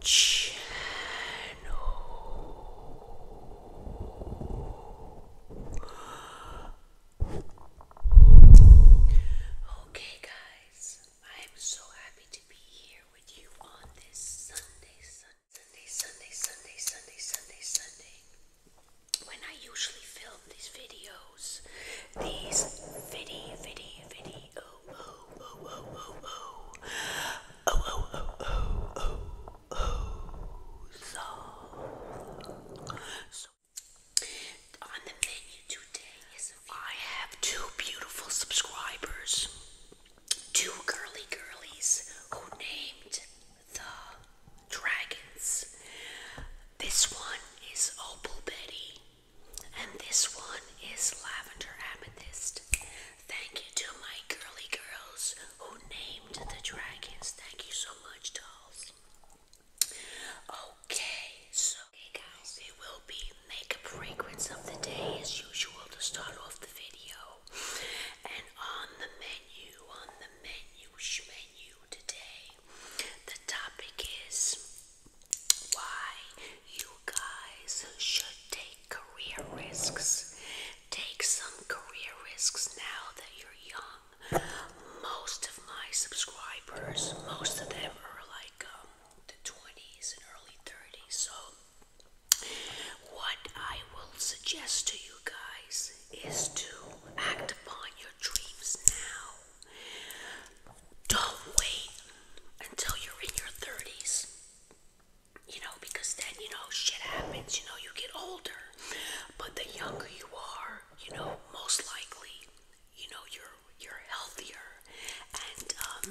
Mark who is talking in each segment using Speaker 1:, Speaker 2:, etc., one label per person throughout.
Speaker 1: Channel. Okay, guys, I'm so happy to be here with you on this Sunday, Sunday, Sunday, Sunday, Sunday, Sunday, Sunday. When I usually film these videos, these video, video, video so on the menu today is I have two beautiful subscribers, two girly girlies who named the dragons. This one is Opal Betty and this one is Lavender Amethyst. Thank you to my girly girls who named the dragons. Thank you so much, dolls. Okay, so guys, it will be makeup fragrance of the day as usual to start off the video. And on the menu, on the menu, menu today, the topic is why you guys should take career risks. Take some career risks now that you're young. Most of my subscribers, most of them are like um, the 20s and early 30s. So, what I will suggest to you guys is to act upon your dreams now don't wait until you're in your 30s. You know, because then, you know, shit happens. You know, you get older. But the younger you are, you know, most likely, you know, you're you're healthier. And um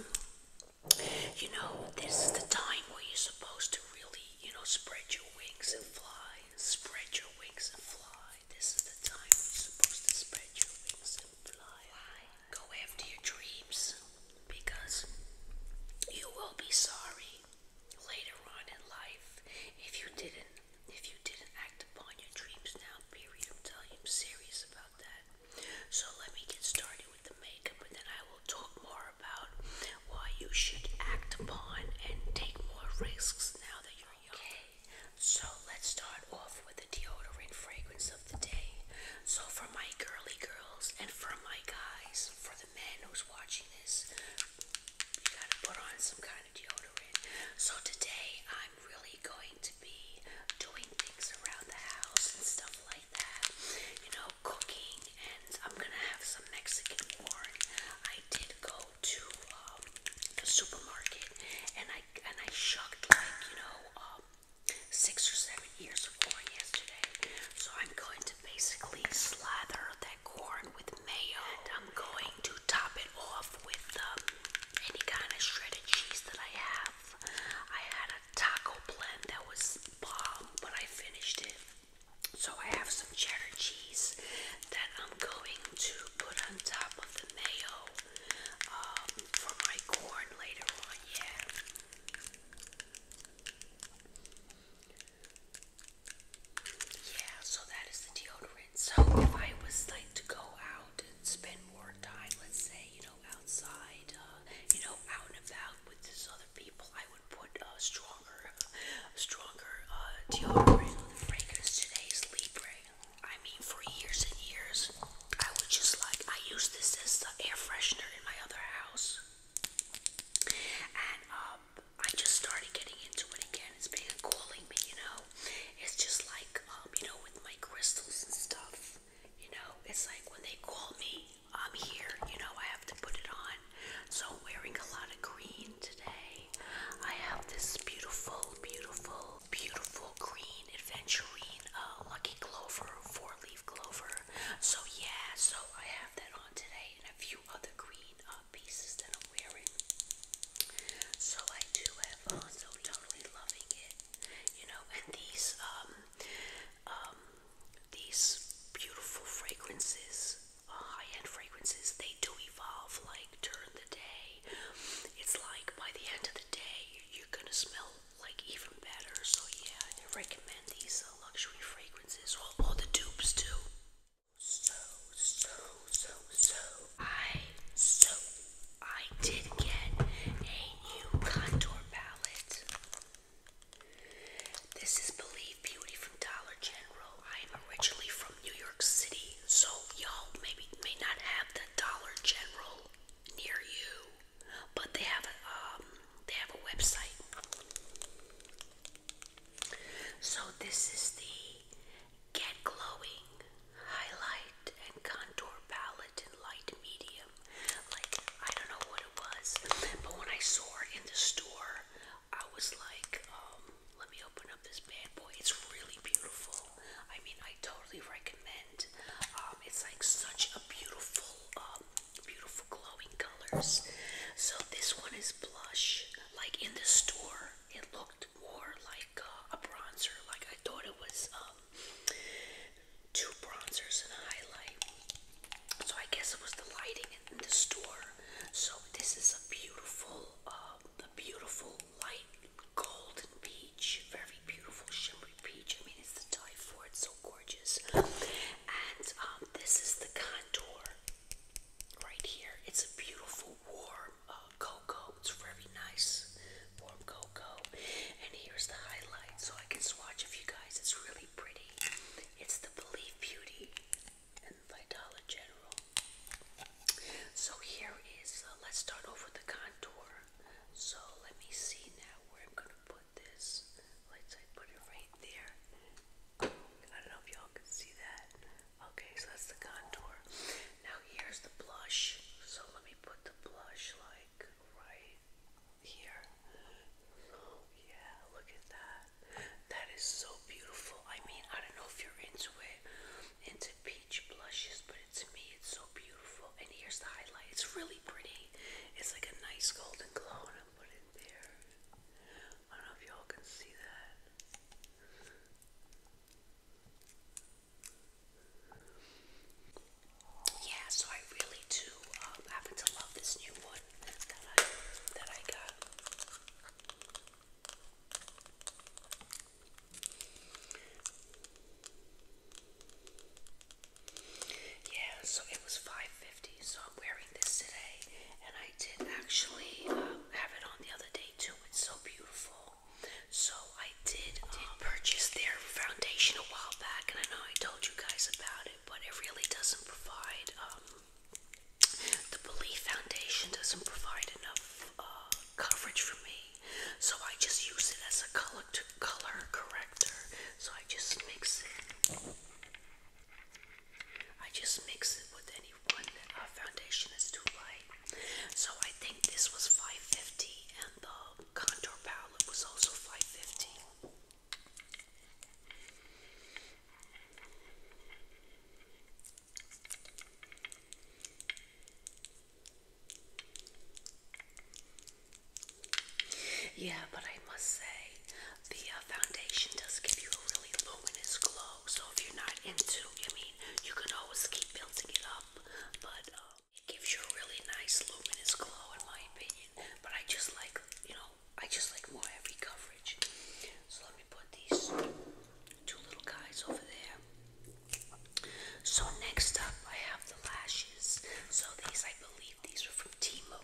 Speaker 1: you know, this is the time where you're supposed to really, you know, spread your wings and fly. Spread your wings and fly. This is the time where you're supposed to spread your wings and fly. Go after your dreams because you will be sorry later on in life if you didn't if you didn't act upon your dreams now, period. I'm telling you I'm serious about that. So let me get started with the makeup and then I will talk more about why you should act upon and take more risks now that you're young. Okay. So let's start off with the deodorant fragrance of the day. So for my girly girls and for my guys, for the men who's watching this, you gotta put on some kind of deodorant. So today I'm really going to be doing things around the house and stuff like that. You know, cooking and I'm gonna have some Mexican corn. I did go to um, the supermarket and I and I shucked like, you know, um, six or seven years of corn yesterday. So I'm going to basically slather that corn with mayo. And I'm going to top it off with um, any kind of shredded cheese that I have. I had a taco blend that was bomb, but I finished it. So I have some cheddar cheese that I'm going to put on top of the mayo um, for my corn later on. Oh, yeah. Yeah, so that is the deodorant. So if I was like to go out and spend more time, let's say, you know, outside, uh, you know, out and about with these other people, I would put a stronger, stronger uh, deodorant. The fragrance today I mean, for years and years, I would just like, I use this as the air freshener in my other house. And um, I just started getting into it again. It's been calling me, you know. It's just like, um, you know, with my crystals and stuff. You know, it's like when they call me, I'm here. You know, I have to put it on. So wearing a lot of green today. I have this beautiful, beautiful, beautiful green Adventurine, uh, Lucky Clover, Four Leaf Clover. So yeah, so I have that on today and a few other green uh, pieces that I'm wearing. So I do have also uh, totally loving it, you know. And these um um these beautiful fragrances, high-end fragrances, they do evolve like during the day. It's like by the end of the day, you're gonna smell like even better. So yeah, I recommend these uh, luxury fragrances. Well, oh, all the dupes too. So so so so I so I did get a new contour palette. This is Believe Beauty from Dollar General. I am originally from New York City, so y'all maybe may not have the Dollar General near you but they have um, they have a website. So this is the Get Glowing Highlight and Contour Palette in Light Medium. Like I don't know what it was, but when I saw it in the store, I was like, um, let me open up this bad boy. It's really beautiful. I mean, I totally recommend um, it's like such a beautiful, um, beautiful glowing colors. So this one is blush. Like in the store, it looked more like uh, a bronzer. Like I thought it was um, two bronzers and a highlight. So I guess it was the lighting in the store. So this is a beautiful, um, a beautiful light golden bead peach, very beautiful shimmery peach. I mean, it's the dye for it's so gorgeous. And um, this is the contour right here. It's a beautiful warm uh, cocoa. It's very nice, warm cocoa. And here's the highlight, so I can swatch if you guys. It's really pretty. It's the belief Beauty and by General. So here is. Uh, let's start off with the contour. So let me see now where I'm gonna put put this light side, put it right there. I don't know if y'all can see that. Okay, so that's the contour. Now here's the blush. So let me put the blush like right here. Oh yeah, look at that. That is so beautiful. I mean, I don't know if you're into it, into peach blushes, but it's to me it's so beautiful. And here's the highlight. It's really pretty. It's like a nice golden glow, and I'm it there. I don't know if y'all can see that. Yeah, so I really do um, happen to love this new one that I that I got. Yeah, so it was five fifty. So I'm wearing this today, and I did actually um, have it on the other day too. It's so beautiful. So I did, um, purchase their foundation a while back, and I know I told you guys about it, but it really doesn't provide. Um, the Belief Foundation doesn't provide enough uh, coverage for me, so I just use it as a color to color corrector. So I just mix it. I just mix it with any one uh, foundation that's too light. So I think this was 550 and the contour palette was also five fifteen. Yeah, but I must say, the uh, foundation does give you a really luminous glow. So if you're not into, I mean, you can always keep building it up. But um, it gives you a really nice luminous glow, in my opinion. But I just like, you know, I just like more heavy coverage. So let me put these two little guys over there. So next up, I have the lashes. So these, I believe, these were from Timo.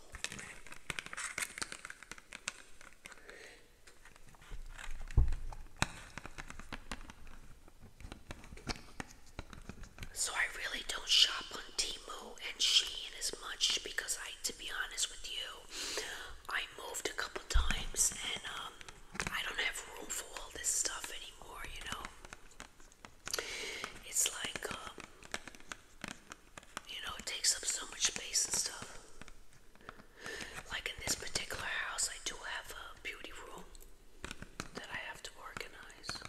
Speaker 1: So I really don't shop on Timo and Shein as much because I, to be honest with you, I moved a couple times and um, I don't have room for all this stuff anymore, you know. It's like, um, you know, it takes up so much space and stuff. Like in this particular house, I do have a beauty room that I have to organize.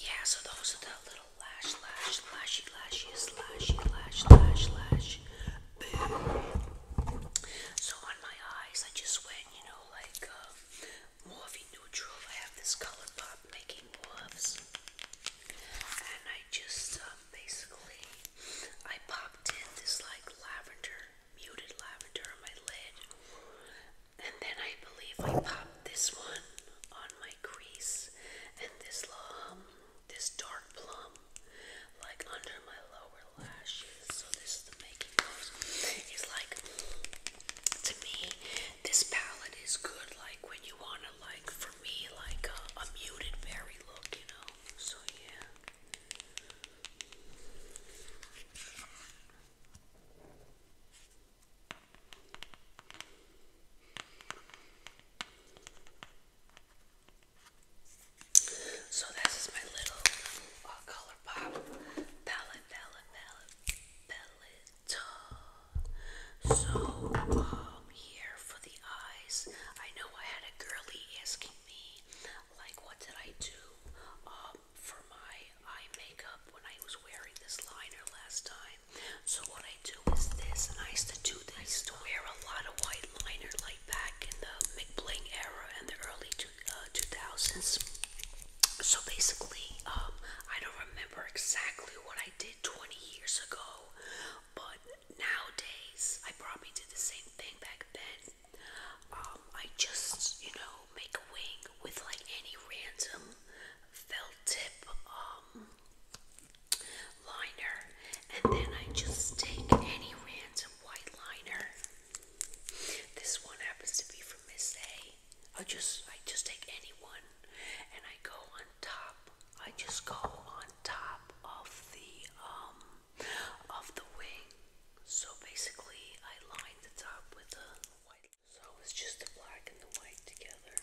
Speaker 1: Yeah, so those are the little lash, lash, lashy, lashes, lashy, lash, lash, So on my eyes, I just went, you know, like um, morphe neutral. I have this color making morphs, and I just um, basically I popped in this like lavender, muted lavender on my lid, and then I believe I popped this one on my crease and this um, this dark plum like under my lower lashes. So this is the making of. It's like to me this palette is good like when you wanna like for me like a muted berry look, you know. So yeah. So this is my little uh, palette, palette, palette, palette. So um, here for the eyes, I know I had a girly asking me, like, what did I do um, for my eye makeup when I was wearing this liner last time? So what I do is this, and I used to do this. I used to wear a lot of white liner like back in the McBling era and the early two, 2000s. Uh, so basically, um, I don't remember exactly what I did 20 years ago, but nowadays I probably did the same thing back then. Um, I just, you know, make a wing with like any random felt tip um, liner, and then I just take any random white liner. This one happens to be from Miss A. I just I just take any one, and I go on top. I just go on top of the um of the wing. So basically, I line the top with a white so it's just the black and the white together.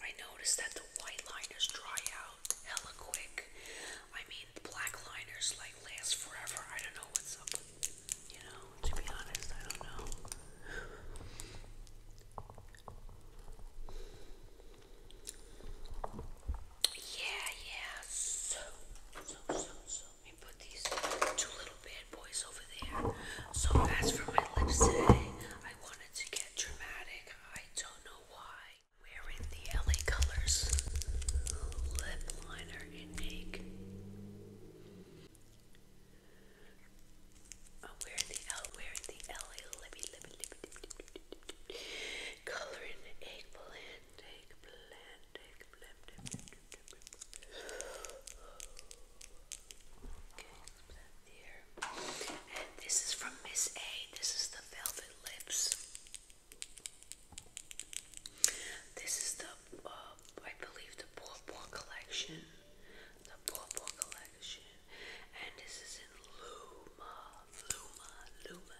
Speaker 1: I noticed that the white liners dry out hella quick. I mean, the black liners like last forever. I don't know what's up you know, to be honest, I don't know. Yeah, yeah. So, so, so, so. Let me put these two little bad boys over there. So, as for my lips today, I wanted to get dramatic. I don't know why. Wearing the LA Colors lip liner in Make. I'm wearing the L, wearing the LA lippy, lippy, lippy, lippy, lippy, Coloring eggplant, eggplant, eggplant. Okay, plant And this is from Miss A. This is the velvet lips. This is the, uh, I believe, the Paw Paw collection. The Paw Paw collection. And this is in Luma, Luma, Luma,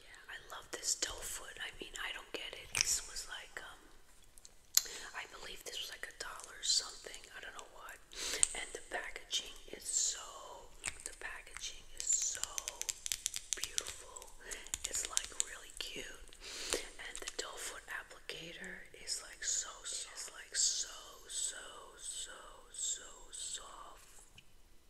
Speaker 1: Yeah, I love this doe foot. I mean, I don't get it. This was like, um, I believe this was like a dollar something. I don't know what. And the packaging is so, the packaging is so beautiful. It's like really cute. And the doe foot applicator is like so, It's like so, so, so, so soft.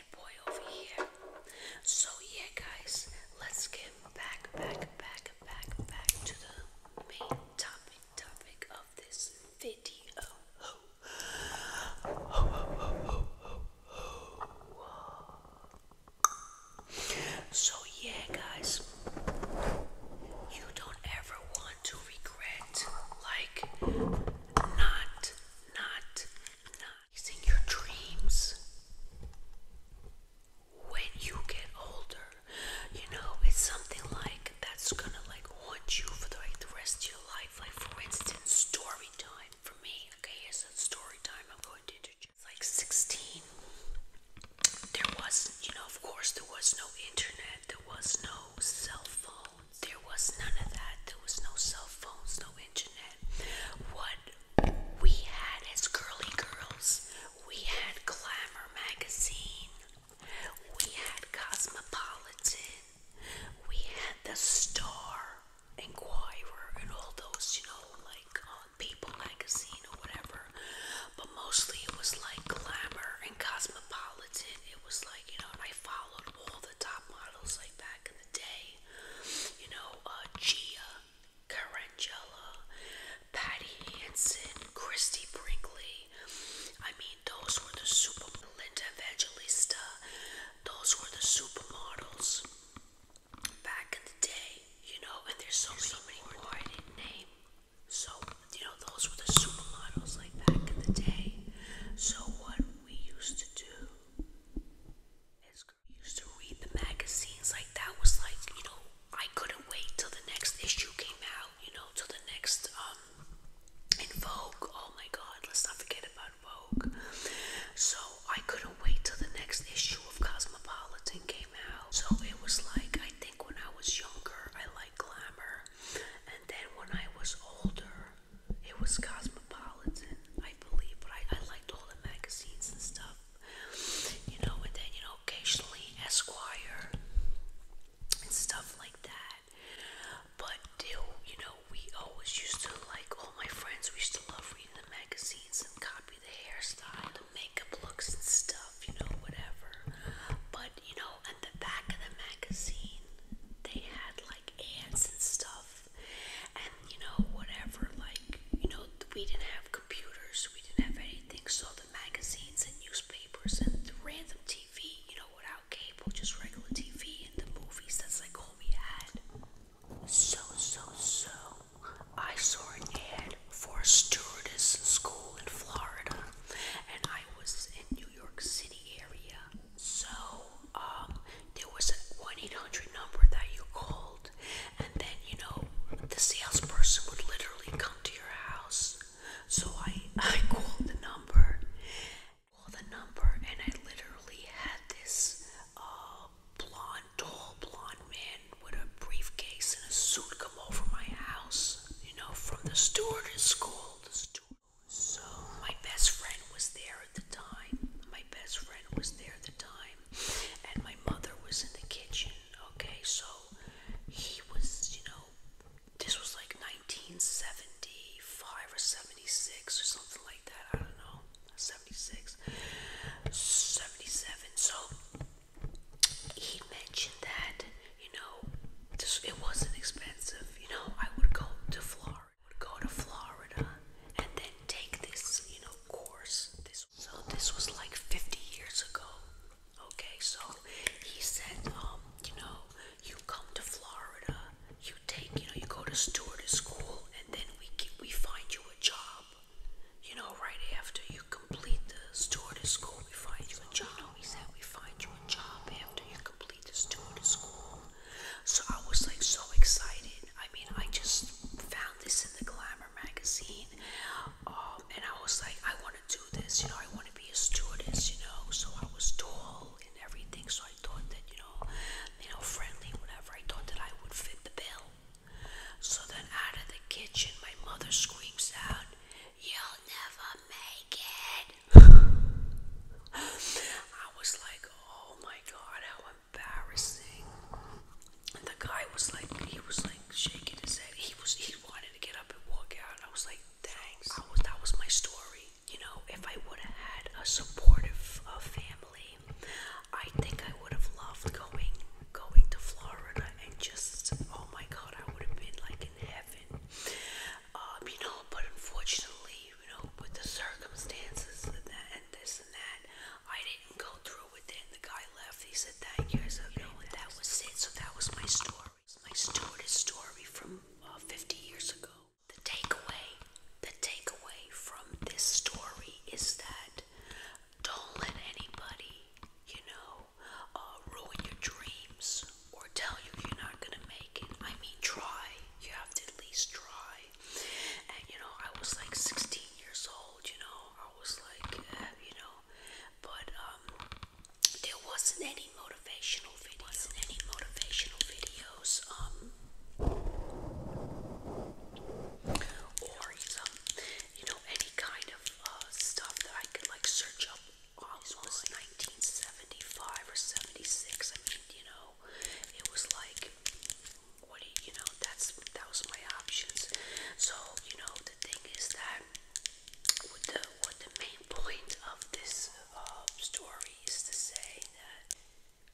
Speaker 1: bad boy over here. So yeah, guys, let's get back, back, back, back, back to the main topic, topic of this video. Oh. Oh, oh, so yeah, guys, you don't ever want to regret, like, not, not, not. It's in your dreams. When you get older, you know, it's something like that's gonna like haunt you for the, like the rest of your life. Like for instance, story time for me. Okay, it's a story time I'm going to introduce. Like 16. There was, you know, of course, there was no internet, there was no cell phone, there was none of that, there was no cell phones, no internet. What we had as girly girls, we had Glamour magazine, we had Cosmopolitan, we had the Star Inquirer and all those, you know, like uh, People magazine or whatever. But mostly it was like Glamour and Cosmopolitan. It was like, you know, I followed all the top models like back in the day. You know, uh, Gia Carangella, Patty Hansen, Christy Brinkley. I mean, those were the super Linda Evangelista. Those were the supermodels back in the day. You know, and there's so many, so many more, I didn't name. So, you know, those were the supermodels like back in the day. So, what we used to do is go used to read the magazines like that was like, you know, I couldn't wait till the next issue came out, you know, till the next um, in Vogue. Oh my god, let's not forget about Vogue. So I couldn't wait till the next issue of Cosmopolitan came out. So it was like I think when I was younger I liked glamour and then when I was older it was Cosmopolitan. I believe, but I, I liked all the magazines and stuff. You know, and then, you know, occasionally Esquire and stuff like that. But still, you know, we always used to, like, all my friends, we used to love reading the magazines and copy the hairstyle, the makeup looks and stuff, you know, whatever. But, you know, at the back of the magazine, they had, like, ads and stuff and you know whatever like you know we didn't have computers we didn't have anything so the magazines and newspapers and the random tv you know without cable just regular tv and the movies that's like all we had so so so i saw an ad for a stewardess school in florida and i was in new york city area so um there was a 1 800 number that you called, and then you know, the salesperson would literally come to your house. So I, I called the number, called the number, and I literally had this uh, blonde, tall blonde man with a briefcase and a suit come over my house, you know, from the stewardess school. The steward. So my best friend was there at the time. My best friend was there at the time and my mother was in the kitchen okay so he was you know this was like 1975 or 76 or something like that i don't know 76 77 so he mentioned that you know it wasn't expensive you know i would go to florida would go to florida and then take this, you know, course. This so this was like 50 years ago. Okay, so he said, um, you know, you come to Florida, you take, you know, you go to stewardess school, and then we we find you a job. You know, right after you complete the stewardess school, we find you a job. You he said we find you a job after you complete the stewardess school. So I was like so excited. I mean, I just found this in the Glamour magazine, um, and I was like, I want to do this. You know, I want to be a stewardess. You know, so I was tall and everything. So I thought that you know, you know, friendly, whatever. I thought that I would fit the bill. So then, out of the kitchen, my mother screams out, "You'll never make it!" I was like, "Oh my God, how embarrassing. And the guy was like, he was like shaking his head. He was, he wanted to get up and walk out. I was like, thanks. that was my story. You know, if I would have had a supportive uh, family, I think I would have loved going, going to Florida and just, oh my God, I would have been like in heaven. Um, you know, but unfortunately, you know, with the circumstances and, that, and this that. I didn't go through with it, and the guy left. He said, Thank you. I said, No, and that was it. So that was my story. My stewardess story from uh, 50 years ago. The takeaway, the takeaway from this story is that don't let anybody, you know, uh, ruin your dreams or tell you you're not gonna make it. I mean, try. You have to at least try way. And you know, I was like 16 years old, you know, I was like, uh, you know, but um, there wasn't any motivational videos. Wasn't any motivational videos. Um, or some, you know, any kind of uh, stuff that I could like search up. Well, it was 1975 or 76. I mean, you know, it was like what you, know, that's that was my options. So, you know, the thing is that with the what the main point of this um, story is to say that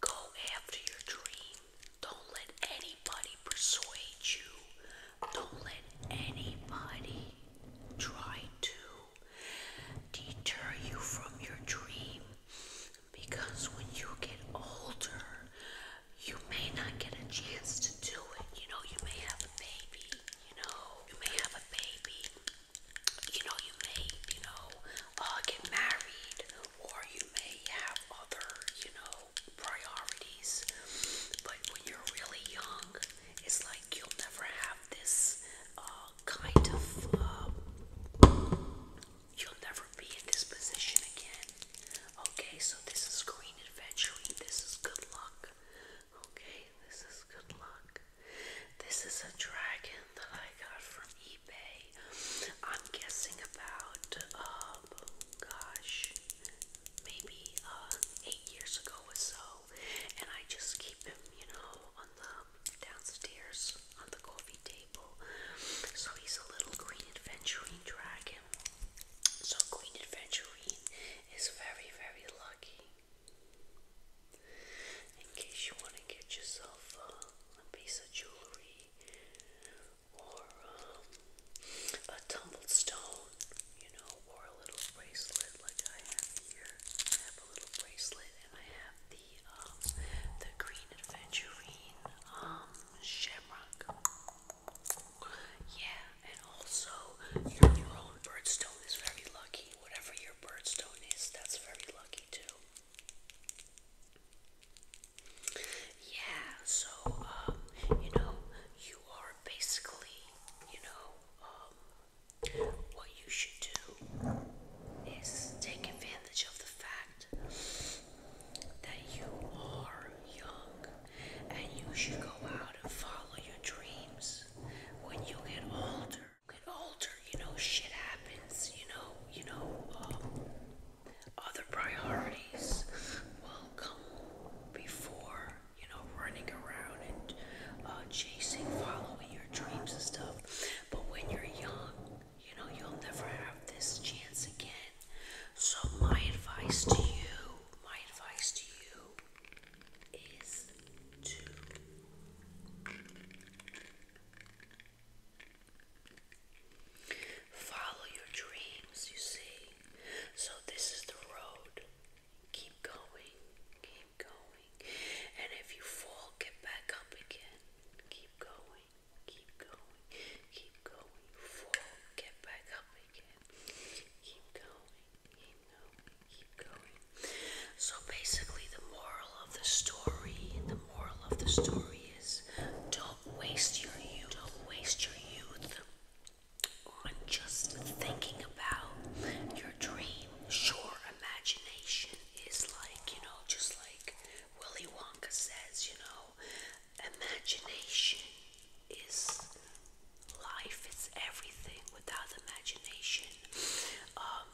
Speaker 1: go after your dream. Don't let anybody persuade you. Don't let anybody try to deter you from your dream because when you get older, you may not get a chance to do it. You know, you may have a baby, you know, you may have a baby, you know, you may, you know, uh, get married, or you may have other, you know, priorities. But when you're really young, it's like you'll never have this uh, kind of. Uh, You'll never be in this position again. Okay, so this is green adventuring. This is good luck. Okay, this is good luck. This is a dragon that I got from eBay. I'm guessing about, um, gosh, maybe uh, eight years ago or so. And I just keep him, you know, on the downstairs on the coffee table. So he's a little green adventuring dragon him. So Queen Adventurine is very, very lucky. In case you want to get yourself a piece of jewelry or um, a tumbled stone, you know, or a little bracelet like I have here. I have a little bracelet and I have the um, the Green Adventurine um, yeah, and also your, your own birdstone is very lucky. Whatever your birdstone is, that's very lucky too. Yeah, so, um, you know, you are basically, you know, um, what you should do is take advantage of the fact that you are young and you should go out and follow your dreams when you get older. Get older, you know, shit happens, you know, you know, um, other priorities will come before, you know, running around and uh, chasing, following your dreams and stuff. But when you're young, you know, you'll never have this chance again. So, my advice to you, my advice to you is to follow your dreams, you see. So, this is the road. Keep going, keep going. And if you fall, get back up again. Keep going keep going, keep going, get back up again, keep going, keep going, keep going. So basically the moral of the story, the moral of the story is don't waste your youth, don't waste your youth on just thinking about your dream. Sure, imagination is like, you know, just like Willy Wonka says, you know, imagination is life, it's everything. Without imagination, um,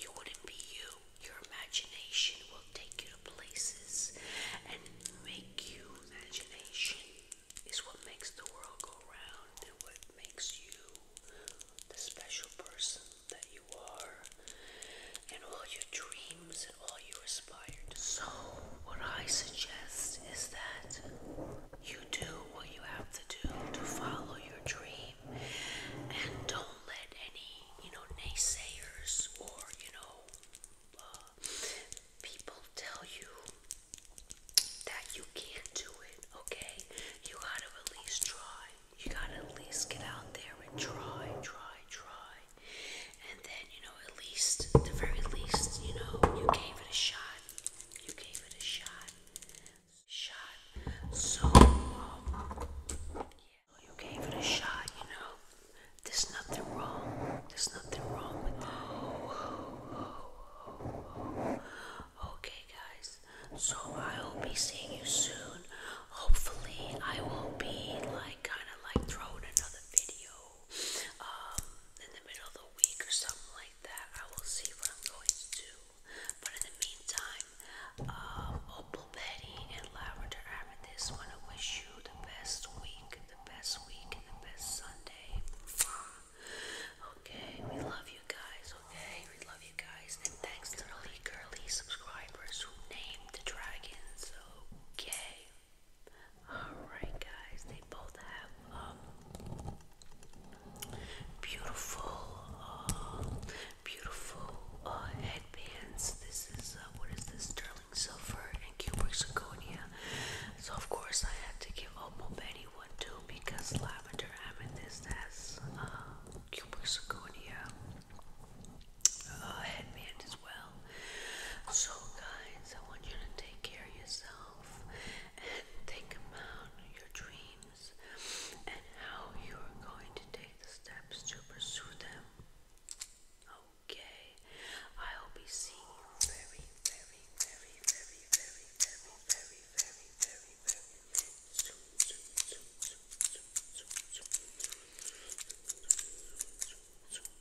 Speaker 1: you wouldn't be you. Your imagination will take you to places and make you. Imagination is what makes the world go round and what makes you the special person that you are. And all your dreams all you aspire to. So, what I suggest is that you do what you have to do to follow your dream and don't let any, you know, naysayers or, you know, uh, people tell you that you can't do it, okay? You gotta at least try. You gotta at least get out there and try, try, try. And then, you know, at least, the very least, you know, you gave it a shot. You gave it a shot. Shot. So, um, yeah, you gave it a shot, you know. There's nothing wrong. There's nothing wrong with that. Okay, guys. So I will be seeing you soon. Hopefully, I will be like kind of like throwing another video um, in the middle of the week or something like that, I will see what I'm going to do. But in the meantime, um, Opal Betty and Lavender Amethyst want to wish you the best week, the best week, the best Sunday. Okay, we love you guys, okay? We love you guys. And thanks to the Girly subscribers who named the dragons, okay? Alright, guys, they both have um, beautiful, um, beautiful uh, headbands. This is, uh, what is this? Sterling Silver and Cubic Zirconia. So, of course, I had to give Opal Betty one too because Lavender Amethyst has uh, Cubic Zirconia. Uh, as well. So, guys, I want you to take care of yourself and think about your dreams and how you are going to take the steps to pursue them. Okay, I'll be seeing you very, very, very, very, very, very, very, very, very, very soon, soon.